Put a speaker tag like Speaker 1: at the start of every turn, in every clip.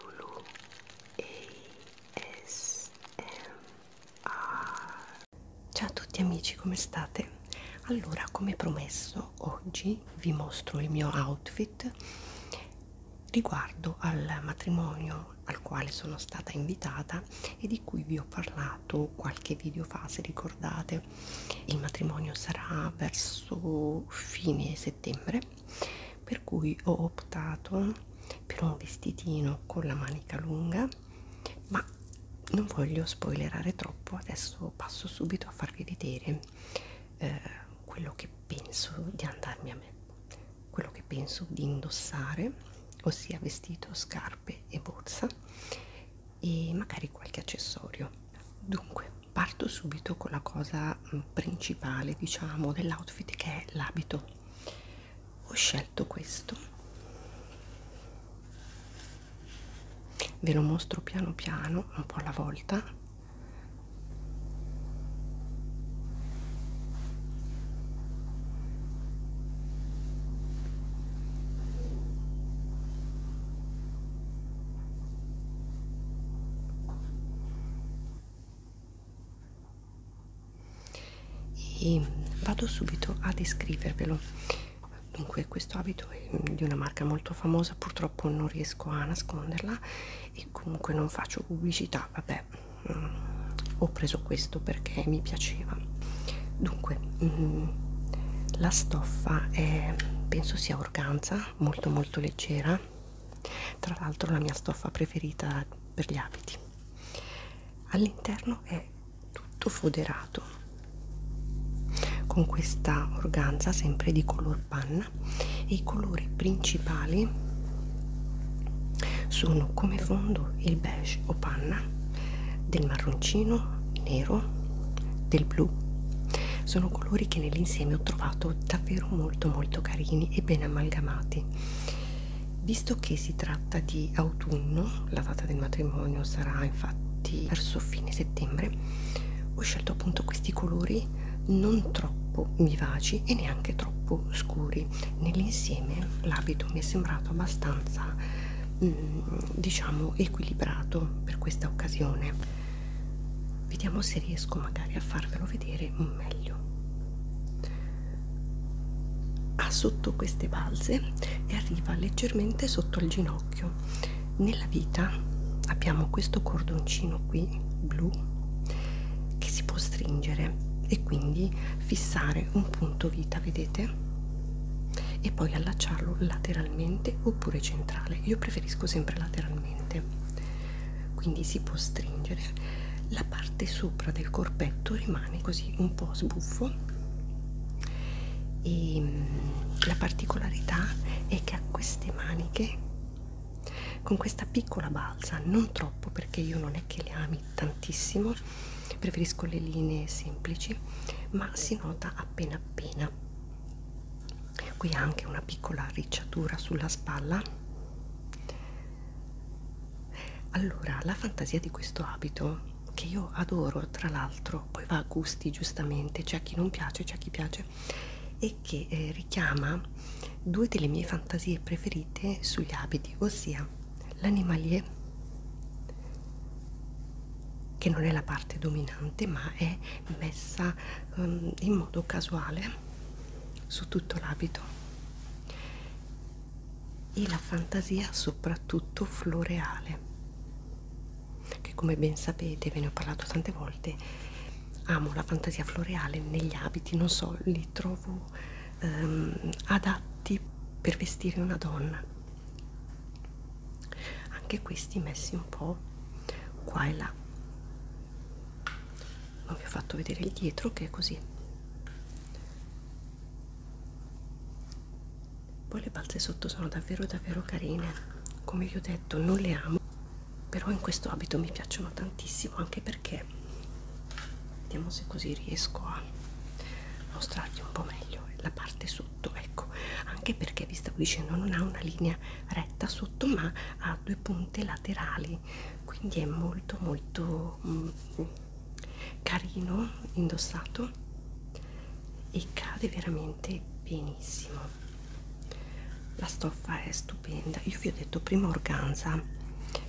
Speaker 1: Lulu ASMR Ciao a tutti amici, come state? Allora, come promesso, oggi vi mostro il mio outfit riguardo al matrimonio al quale sono stata invitata e di cui vi ho parlato qualche video fa, se ricordate. Il matrimonio sarà verso fine settembre per cui ho optato per un vestitino con la manica lunga ma non voglio spoilerare troppo adesso passo subito a farvi vedere eh, quello che penso di andarmi a me quello che penso di indossare ossia vestito scarpe e borsa e magari qualche accessorio dunque parto subito con la cosa mm, principale diciamo dell'outfit che è l'abito ho scelto questo ve lo mostro piano piano un po alla volta e vado subito a descrivervelo dunque questo abito è di una marca molto famosa purtroppo non riesco a nasconderla e comunque non faccio pubblicità vabbè mm, ho preso questo perché mi piaceva dunque mm, la stoffa è penso sia organza molto molto leggera tra l'altro la mia stoffa preferita per gli abiti all'interno è tutto foderato con questa organza sempre di color panna e i colori principali sono come fondo il beige o panna del marroncino nero del blu sono colori che nell'insieme ho trovato davvero davvero molto molto carini e ben amalgamati visto che si tratta di autunno la data del matrimonio sarà infatti verso fine settembre ho scelto appunto questi colori non troppo vivaci e neanche troppo scuri nell'insieme l'abito mi è sembrato abbastanza mm, diciamo equilibrato per questa occasione vediamo se riesco magari a farvelo vedere meglio ha sotto queste balze e arriva leggermente sotto il ginocchio nella vita abbiamo questo cordoncino qui blu che si può stringere e quindi fissare un punto vita vedete e poi allacciarlo lateralmente oppure centrale io preferisco sempre lateralmente quindi si può stringere la parte sopra del corpetto rimane così un po' sbuffo e mm, la particolarità è che a queste maniche con questa piccola balsa non troppo perché io non è che le ami tantissimo preferisco le linee semplici ma si nota appena appena qui anche una piccola ricciatura sulla spalla allora la fantasia di questo abito che io adoro tra l'altro poi va a gusti giustamente c'è a chi non piace c'è a chi piace e che eh, richiama due delle mie fantasie preferite sugli abiti ossia l'animalier che non è la parte dominante ma è messa um, in modo casuale su tutto l'abito e la fantasia soprattutto floreale che come ben sapete ve ne ho parlato tante volte amo la fantasia floreale negli abiti non so li trovo um, adatti per vestire una donna anche questi messi un po' qua e là ma vi ho fatto vedere il dietro che è così poi le balze sotto sono davvero davvero carine come vi ho detto non le amo però in questo abito mi piacciono tantissimo anche perché vediamo se così riesco a mostrarvi un po' meglio la parte sotto ecco anche perché vi stavo dicendo non ha una linea linea retta sotto ma ha due punte laterali quindi è molto molto mm, carino indossato e cade veramente benissimo la stoffa è stupenda io vi ho detto prima organza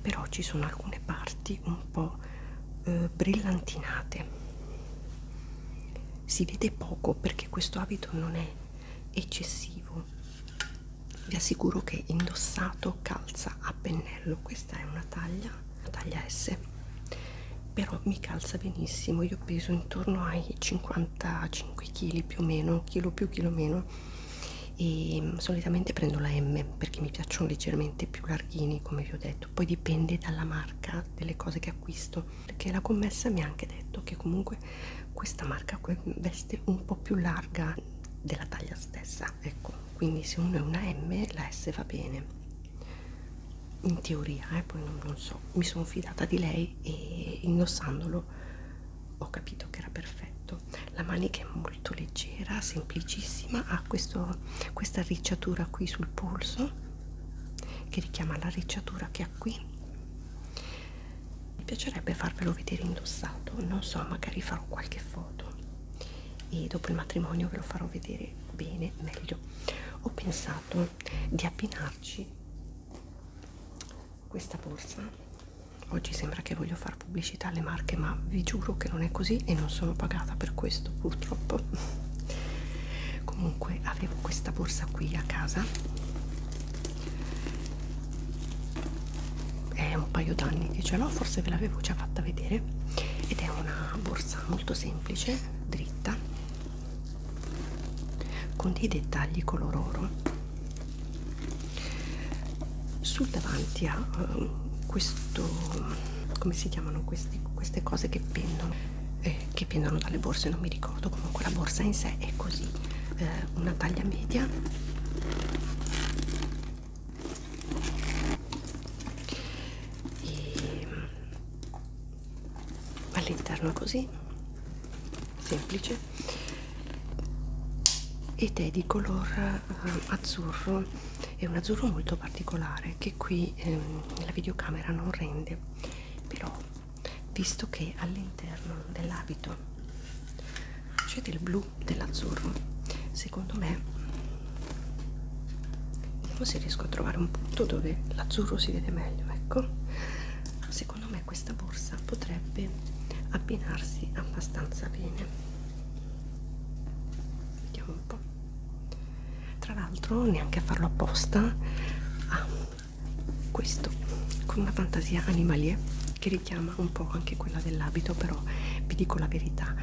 Speaker 1: però ci sono alcune parti un po eh, brillantinate si vede poco perché questo abito non è eccessivo vi assicuro che indossato calza a pennello questa è una taglia una taglia S però mi calza benissimo io peso intorno ai 55 kg più o meno chilo più chilo meno e mm, solitamente prendo la M perché mi piacciono leggermente più larghini come vi ho detto poi dipende dalla marca delle cose che acquisto perché la commessa mi ha anche detto che comunque questa marca veste un po' più larga della taglia stessa ecco quindi se uno è una M la S va bene in teoria eh, poi non, non so mi sono fidata di lei e indossandolo ho capito che era perfetto la manica è molto leggera semplicissima ha questo, questa ricciatura qui sul polso che richiama la ricciatura che ha qui mi piacerebbe farvelo vedere indossato non so magari farò qualche foto e dopo il matrimonio ve lo farò vedere bene meglio ho pensato di abbinarci questa borsa oggi sembra che voglio fare pubblicità alle marche ma vi giuro che non è così e non sono pagata per questo purtroppo comunque avevo questa borsa qui a casa è un paio d'anni che ce l'ho forse ve l'avevo già fatta vedere ed è una borsa molto semplice dritta con dei dettagli color oro sul davanti a eh, questo come si chiamano questi, queste cose che pendono eh, che pendono dalle borse non mi ricordo comunque la borsa in sé è così eh, una taglia media e ehm, all'interno così semplice ed è di color eh, azzurro è un azzurro molto particolare che qui ehm, la videocamera non rende però visto che all'interno dell'abito c'è del blu dell'azzurro secondo me vediamo se riesco a trovare un punto dove l'azzurro si vede meglio ecco secondo me questa borsa potrebbe abbinarsi abbastanza bene vediamo un po' tra l'altro neanche a farlo apposta ha questo con una fantasia animalia che richiama un po' anche quella dell'abito però vi dico la verità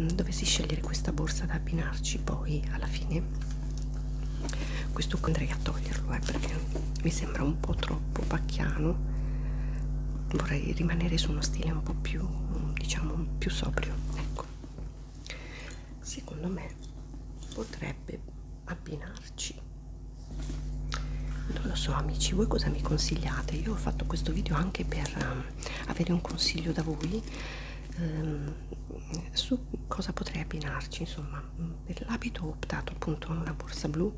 Speaker 1: mm, dovessi scegliere questa borsa da abbinarci poi alla fine questo andrei a toglierlo eh, perché mi sembra un po' troppo pacchiano vorrei rimanere su uno stile un po' più diciamo più sobrio ecco secondo me potrebbe abbinarci non lo so amici voi cosa mi consigliate io ho fatto questo video anche per um, avere un consiglio da voi um, su cosa potrei abbinarci insomma mm, per l'abito ho optato appunto a una borsa blu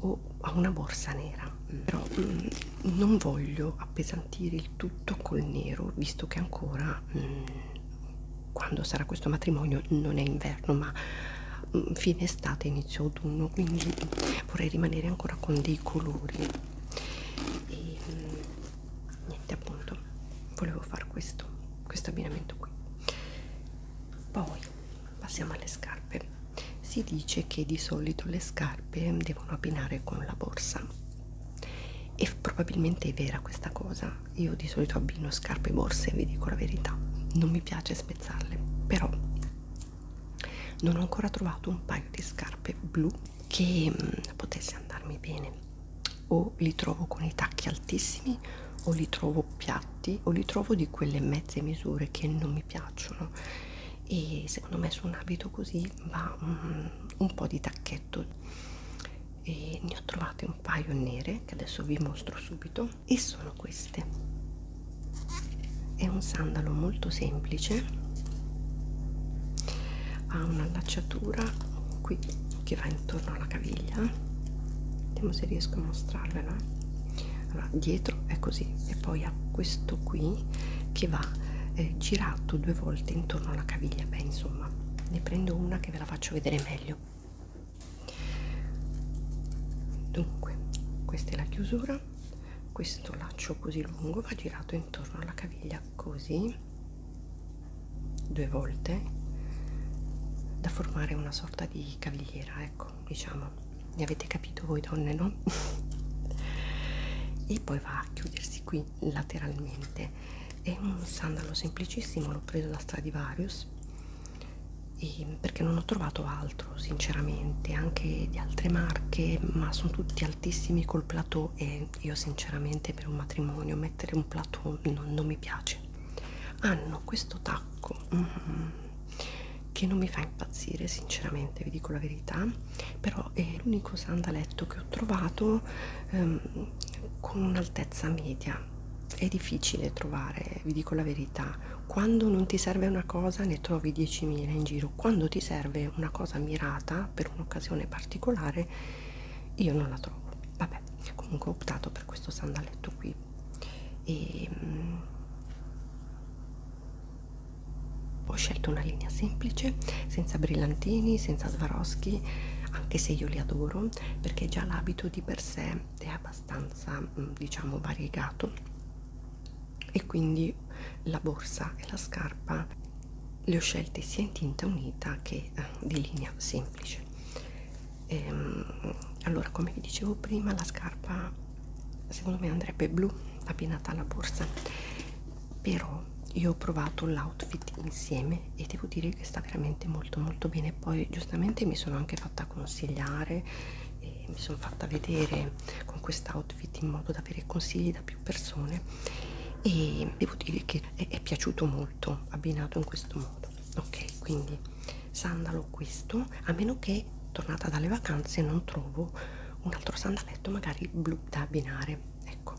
Speaker 1: o a una borsa nera però um, non voglio appesantire il tutto col nero visto che ancora um, quando sarà questo matrimonio non è inverno ma mm, fine estate inizio autunno quindi vorrei rimanere ancora con dei colori e mm, niente appunto volevo fare questo questo abbinamento qui poi passiamo alle scarpe si dice che di solito le scarpe devono abbinare con la borsa e probabilmente è vera questa cosa io di solito abbino scarpe e borse, vi dico la verità, non mi piace spezzarle, però non ho ancora trovato un paio di scarpe blu che mh, mm, potesse andarmi bene. O li trovo con i tacchi altissimi, o li trovo piatti, o li trovo di quelle mezze misure che non mi piacciono. E secondo me su un abito così va un, mm, un po' di tacchetto e ne ho trovate un paio nere che adesso vi mostro subito e sono queste è un sandalo molto semplice ha un'allacciatura qui che va intorno alla caviglia vediamo se riesco a mostrarvela allora, dietro è così e poi ha questo qui che va eh, girato due volte intorno alla caviglia beh insomma ne prendo una che ve la faccio vedere meglio dunque questa è la chiusura questo laccio così lungo va girato intorno alla caviglia così due volte da formare una sorta di cavigliera ecco diciamo ne avete capito voi donne no e poi va a chiudersi qui lateralmente è un sandalo semplicissimo l'ho preso da Stradivarius e perché non ho trovato altro sinceramente anche di altre marche ma sono tutti altissimi col plateau e io sinceramente per un matrimonio mettere un plateau non, non mi piace hanno questo tacco mm, che non mi fa impazzire sinceramente vi dico la verità però è l'unico sandaletto che ho trovato ehm, con un'altezza media è difficile trovare, vi dico la verità, quando non ti serve una cosa ne trovi 10.000 in giro, quando ti serve una cosa mirata per un'occasione particolare io non la trovo. Vabbè, comunque ho optato per questo sandaletto qui e mm, ho scelto una linea semplice, senza brillantini, senza svaroschi, anche se io li adoro, no? perché già l'abito di per sé è abbastanza mm, diciamo variegato e quindi la borsa e la scarpa le ho scelte sia in tinta unita che eh, di linea semplice ehm, allora come vi dicevo prima la scarpa secondo me andrebbe blu abbinata alla borsa però io ho provato l'outfit insieme insieme e devo dire che sta veramente molto molto bene poi giustamente mi sono anche fatta consigliare e mi sono fatta vedere con quest'outfit in modo da avere consigli da più persone e devo dire che è, è piaciuto molto abbinato in questo modo ok quindi sandalo questo a meno che tornata dalle vacanze non trovo un altro sandaletto magari blu da abbinare ecco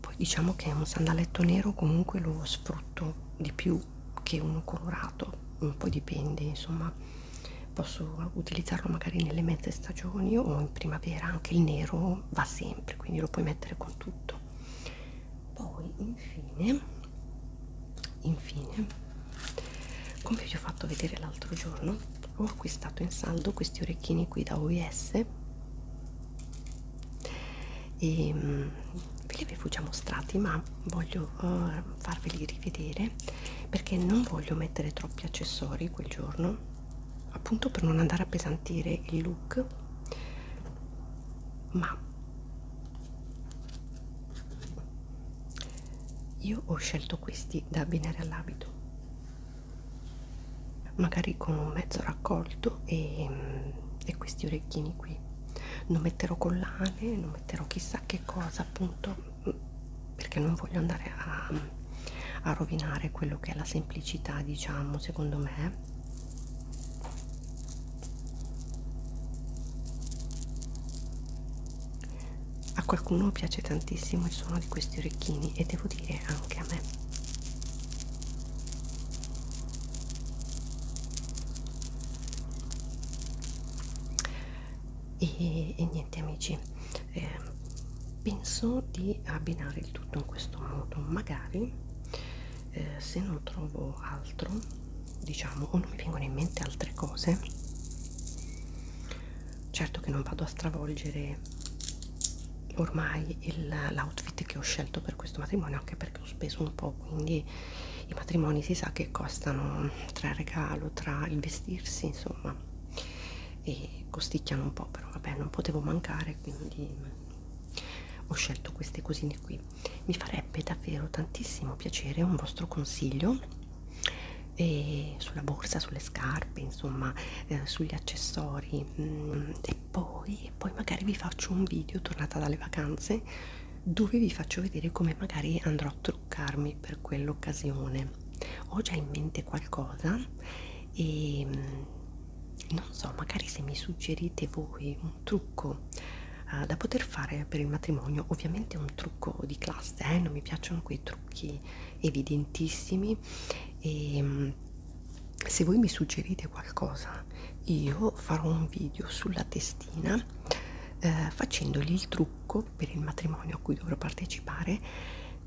Speaker 1: poi diciamo che un sandaletto nero comunque lo sfrutto di più che uno colorato un po' dipende insomma posso utilizzarlo magari nelle mezze stagioni o in primavera anche il nero va sempre quindi lo puoi mettere con tutto poi infine infine come vi ho fatto vedere l'altro giorno ho acquistato in saldo questi orecchini qui da OIS e mh, mm, ve li avevo già mostrati ma voglio uh, farveli rivedere perché non voglio mettere troppi accessori quel giorno appunto per non andare a pesantire il look ma io ho scelto questi da abbinare all'abito magari con un mezzo raccolto e, e questi orecchini qui non metterò collane non metterò chissà che cosa appunto perché non voglio andare a, a rovinare quello che è la semplicità diciamo secondo me a qualcuno piace tantissimo il suono di questi orecchini e devo dire anche a me e, e niente amici eh, penso di abbinare il tutto in questo modo magari eh, se non trovo altro diciamo o non mi vengono in mente altre cose certo che non vado a stravolgere ormai l'outfit che ho scelto per questo matrimonio anche perché ho speso un po' quindi i matrimoni si sa che costano tra il regalo tra il vestirsi insomma e costicchiano un po' però vabbè non potevo mancare quindi ho scelto queste cosine qui mi farebbe davvero tantissimo piacere un vostro consiglio e eh, sulla borsa sulle scarpe insomma eh, sugli accessori mh, mm, e poi, poi magari vi faccio un video tornata dalle vacanze dove vi faccio vedere come magari andrò a truccarmi per quell'occasione ho già in mente qualcosa e mh, mm, non so magari se mi suggerite voi un trucco uh, da poter fare per il matrimonio ovviamente un trucco di classe eh? non mi piacciono quei trucchi evidentissimi e mh, mm, se voi mi suggerite qualcosa io farò un video sulla testina eh, facendogli il trucco per il matrimonio a cui dovrò partecipare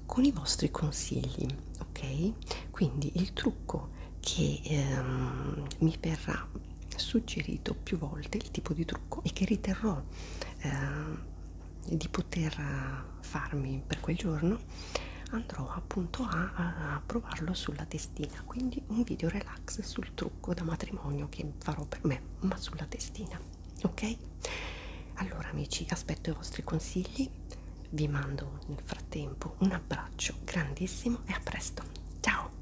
Speaker 1: con i vostri consigli ok quindi il trucco che ehm, mi verrà suggerito più volte il tipo di trucco e che riterrò eh, di poter farmi per quel giorno andrò appunto a, a, a provarlo sulla testina quindi un video relax sul trucco da matrimonio che farò per me ma sulla testina ok allora amici aspetto i vostri consigli vi mando nel frattempo un abbraccio grandissimo e a presto ciao